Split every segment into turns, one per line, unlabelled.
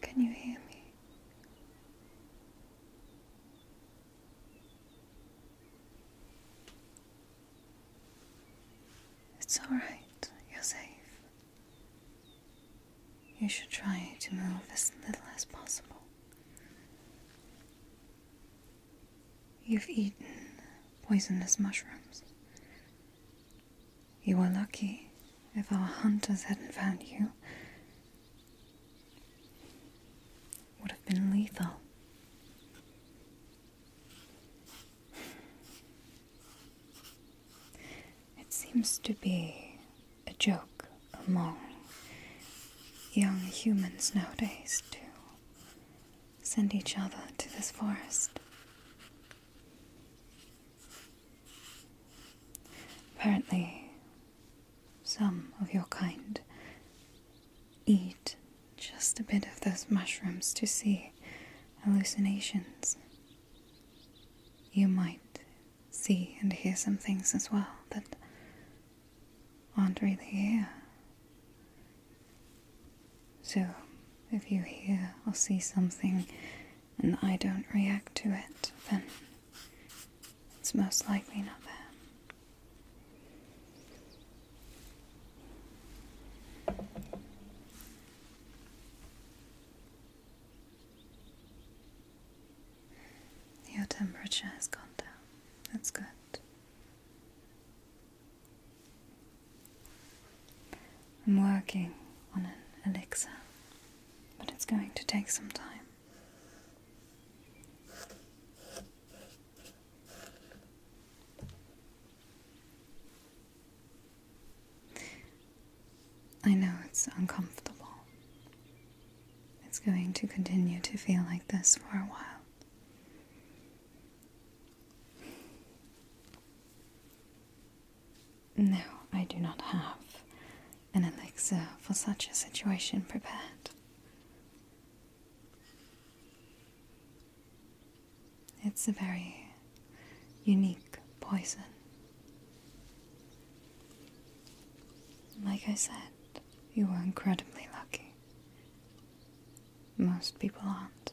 Can you hear me? It's all right. You're safe. You should try to move as little as possible. You've eaten poisonous mushrooms. You were lucky if our hunters hadn't found you. Would have been lethal. It seems to be a joke among young humans nowadays too send each other to this forest. Apparently, some of your kind eat just a bit of those mushrooms to see hallucinations. You might see and hear some things as well that aren't really here. So, if you hear or see something and I don't react to it, then it's most likely not there. Your temperature has gone down. That's good. I'm working on an elixir, but it's going to take some time. I know it's uncomfortable. It's going to continue to feel like this for a while. No, I do not have an elixir for such a situation prepared. It's a very unique poison. Like I said, you were incredibly lucky. Most people aren't.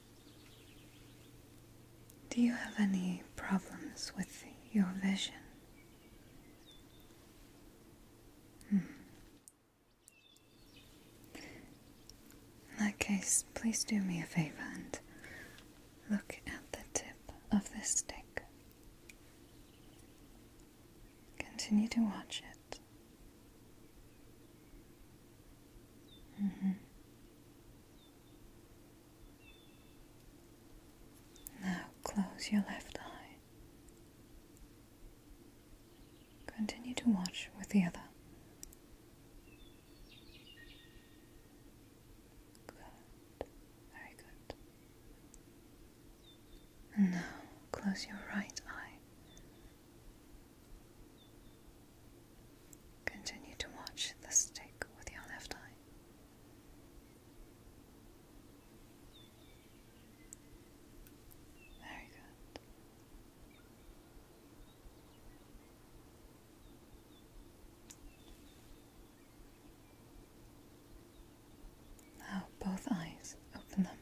Do you have any problems with your vision? Hmm. In that case, please do me a favor and look at the tip of the stick. Continue to watch it Mm-hmm. Now close your left eye. Continue to watch with the other. Good, very good. And now close your right eye. Continue to watch the stick with your left eye. Very good. Now both eyes open them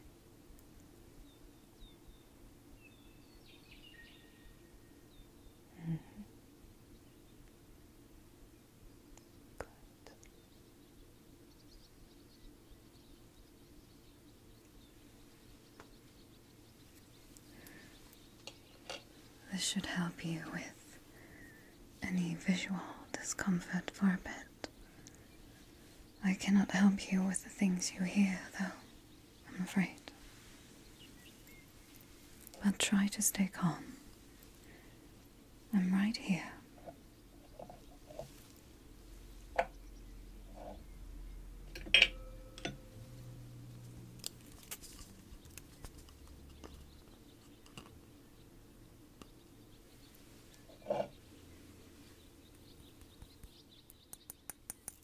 Good. This should help you with any visual discomfort for a bit. I cannot help you with the things you hear, though. I'm afraid. But try to stay calm. I'm right here.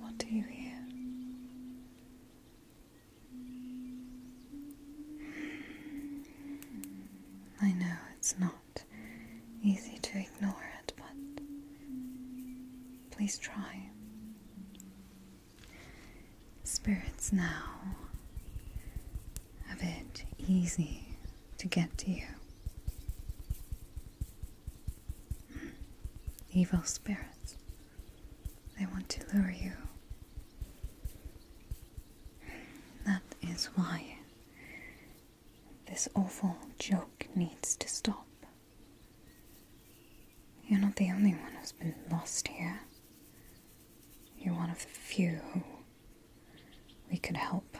What do you hear? I know it's not easy to ignore it, but please try. Spirits now a bit easy to get to you. Evil spirits. They want to lure you. That is why this awful joke needs to stop. You're not the only one who's been lost here. You're one of the few who we could help.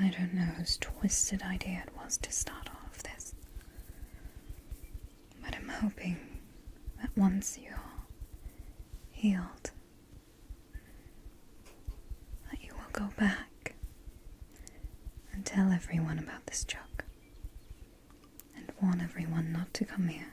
I don't know whose twisted idea it was to start off this. But I'm hoping that once you're healed, that you will go back and tell everyone about this joke and warn everyone not to come here.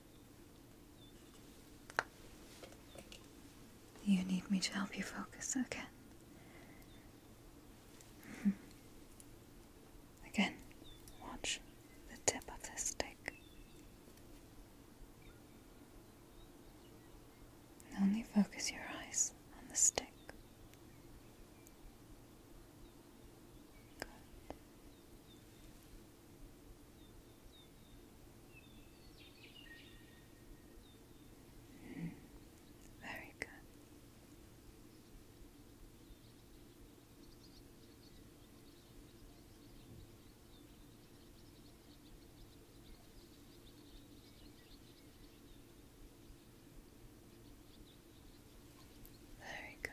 You need me to help you focus again. Mm-hmm. Again, watch the tip of the stick. only focus your eyes on the stick. Good. Mm, very good. Very good.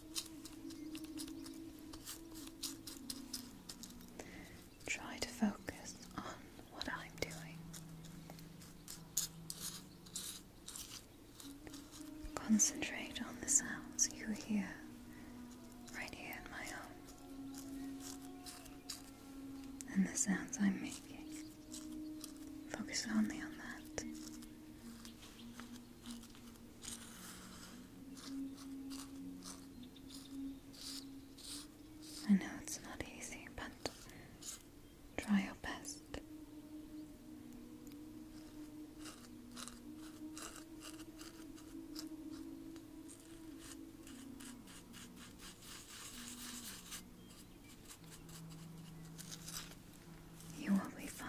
Try to focus on what I'm doing. Concentrate on the sounds you hear right here in my home and the sounds I'm making. Focus only on that. I know it's not easy, but try your best. You will be fine.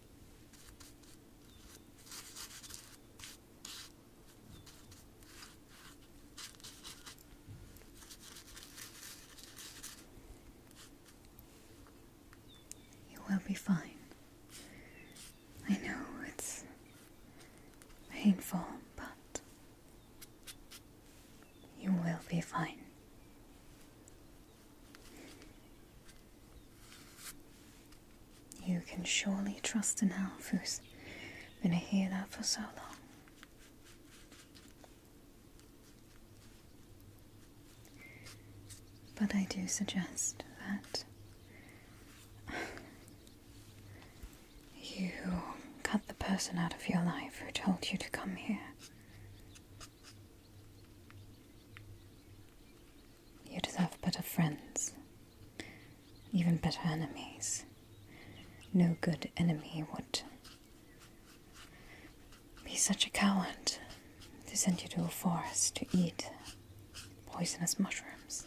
You will be fine. I know it's painful, but you will be fine. You can surely trust an elf who's been here that for so long. But I do suggest that you cut the person out of your life who told you to come here. You deserve better friends, even better enemies. No good enemy would be such a coward to send you to a forest to eat poisonous mushrooms.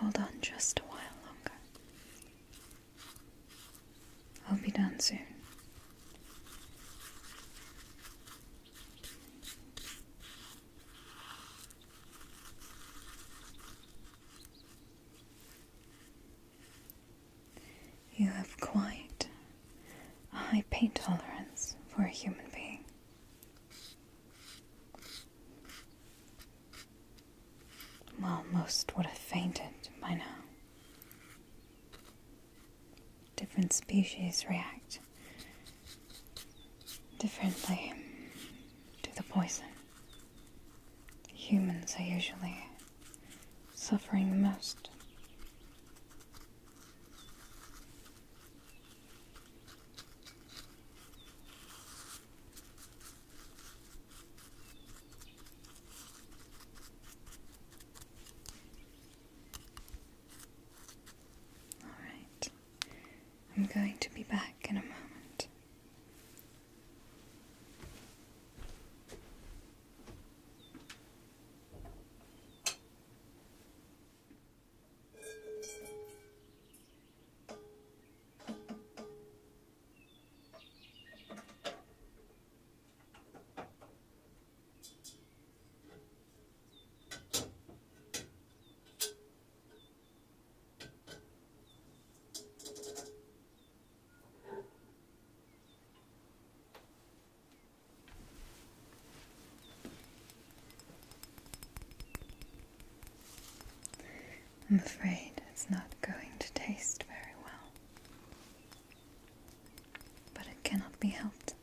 Hold on just a while longer. I'll be done soon. You have quite a high pain tolerance for a human being. Well, most would have fainted by now different species react differently to the poison. Humans are usually suffering the most. All right. I'm going to be back in a moment. I'm afraid it's not going to taste very well but it cannot be helped.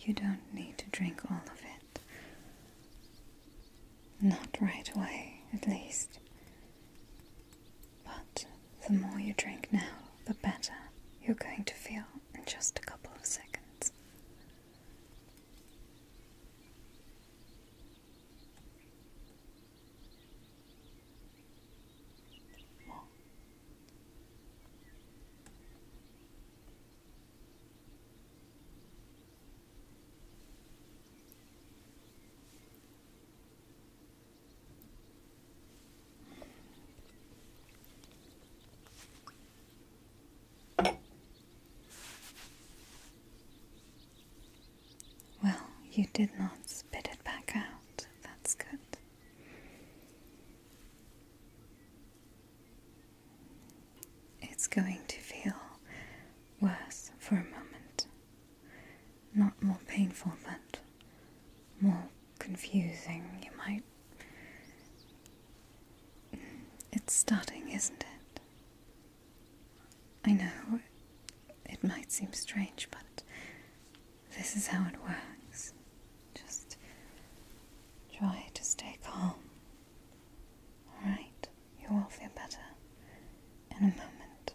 You don't need to drink all of it. Not right away, at least. But the more you drink now, the better you're going to feel in just a couple of seconds. Well, you did not spit it back out. That's good. It's going to feel worse for a moment. Not more painful, but more confusing, you might it's starting, isn't it? I know it might seem strange, but this is how it works. Just try to stay calm. Alright, you will feel better in a moment.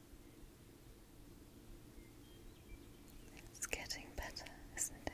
It's getting better, isn't it?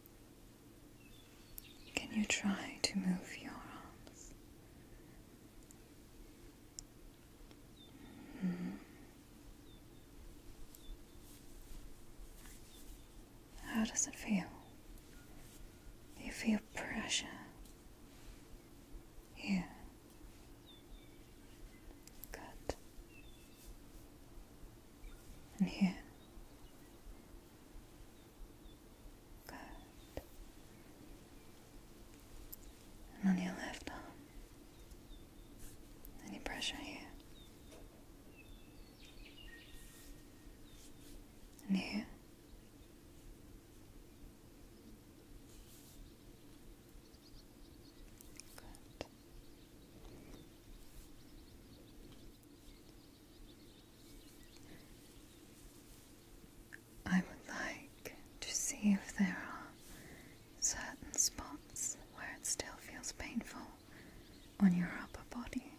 Can you try to move your arms? Mm-hmm. How does it feel? you feel pressure? Here. Good. And here. Good. And on your left arm. Any pressure here? And here? Good. I would like to see if there are certain spots where it still feels painful on your upper body.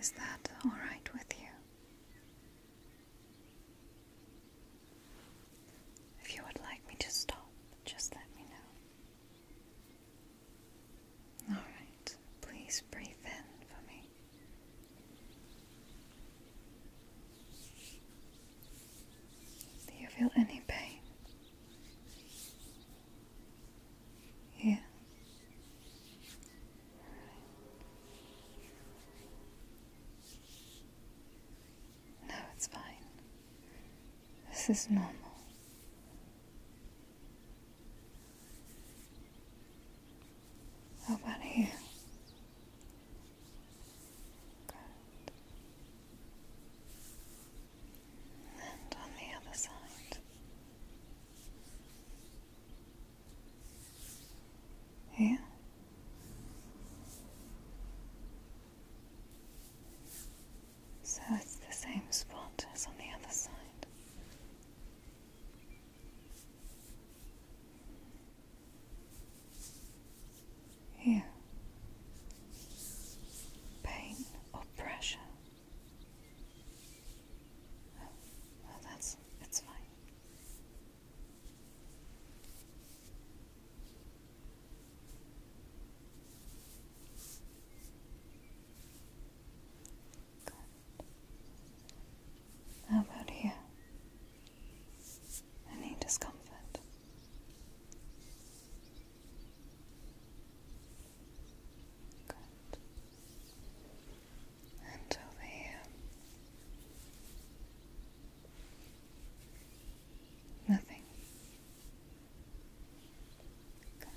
Is that alright with you? If you would like me to stop, just let me know. All right, please breathe in for me. Do you feel any pain? Yeah. No, it's fine. This is normal. How about here? Good. And on the other side. Here. So it's the same spot as on the other side. Here, pain or pressure. Oh, well, that's it's fine. How about here? Any discomfort? Good. And over here. Nothing. Good.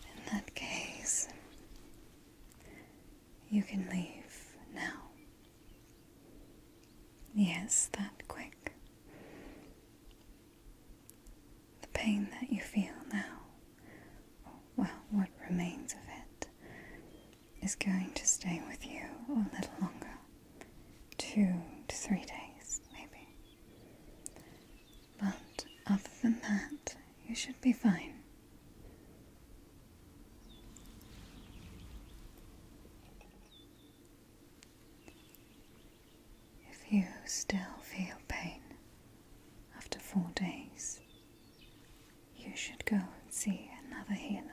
In that case, you can leave now. Yes, that quick the pain that you feel now, well, what remains of it, is going to stay with you a little longer two to three days, maybe. But other than that, you should be fine. If you still feel pain after four days, you should go and see another healer.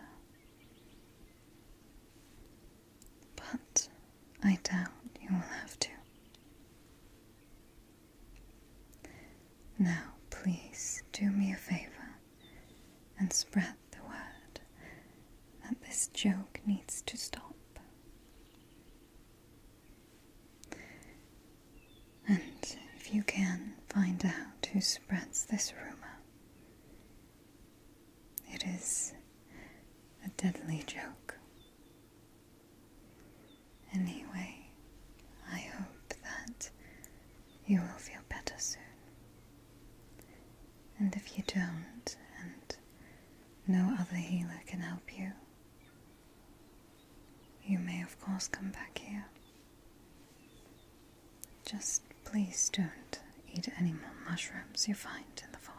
But I doubt you will have to. Now, please do me a favor and spread the word that this joke needs to stop. And if you can find out who spreads this rumor, it is a deadly joke. Anyway, I hope that you will feel better soon. And if you don't, and no other healer can help you, you may, of course, come back here. Just please don't eat any more mushrooms you find in the forest.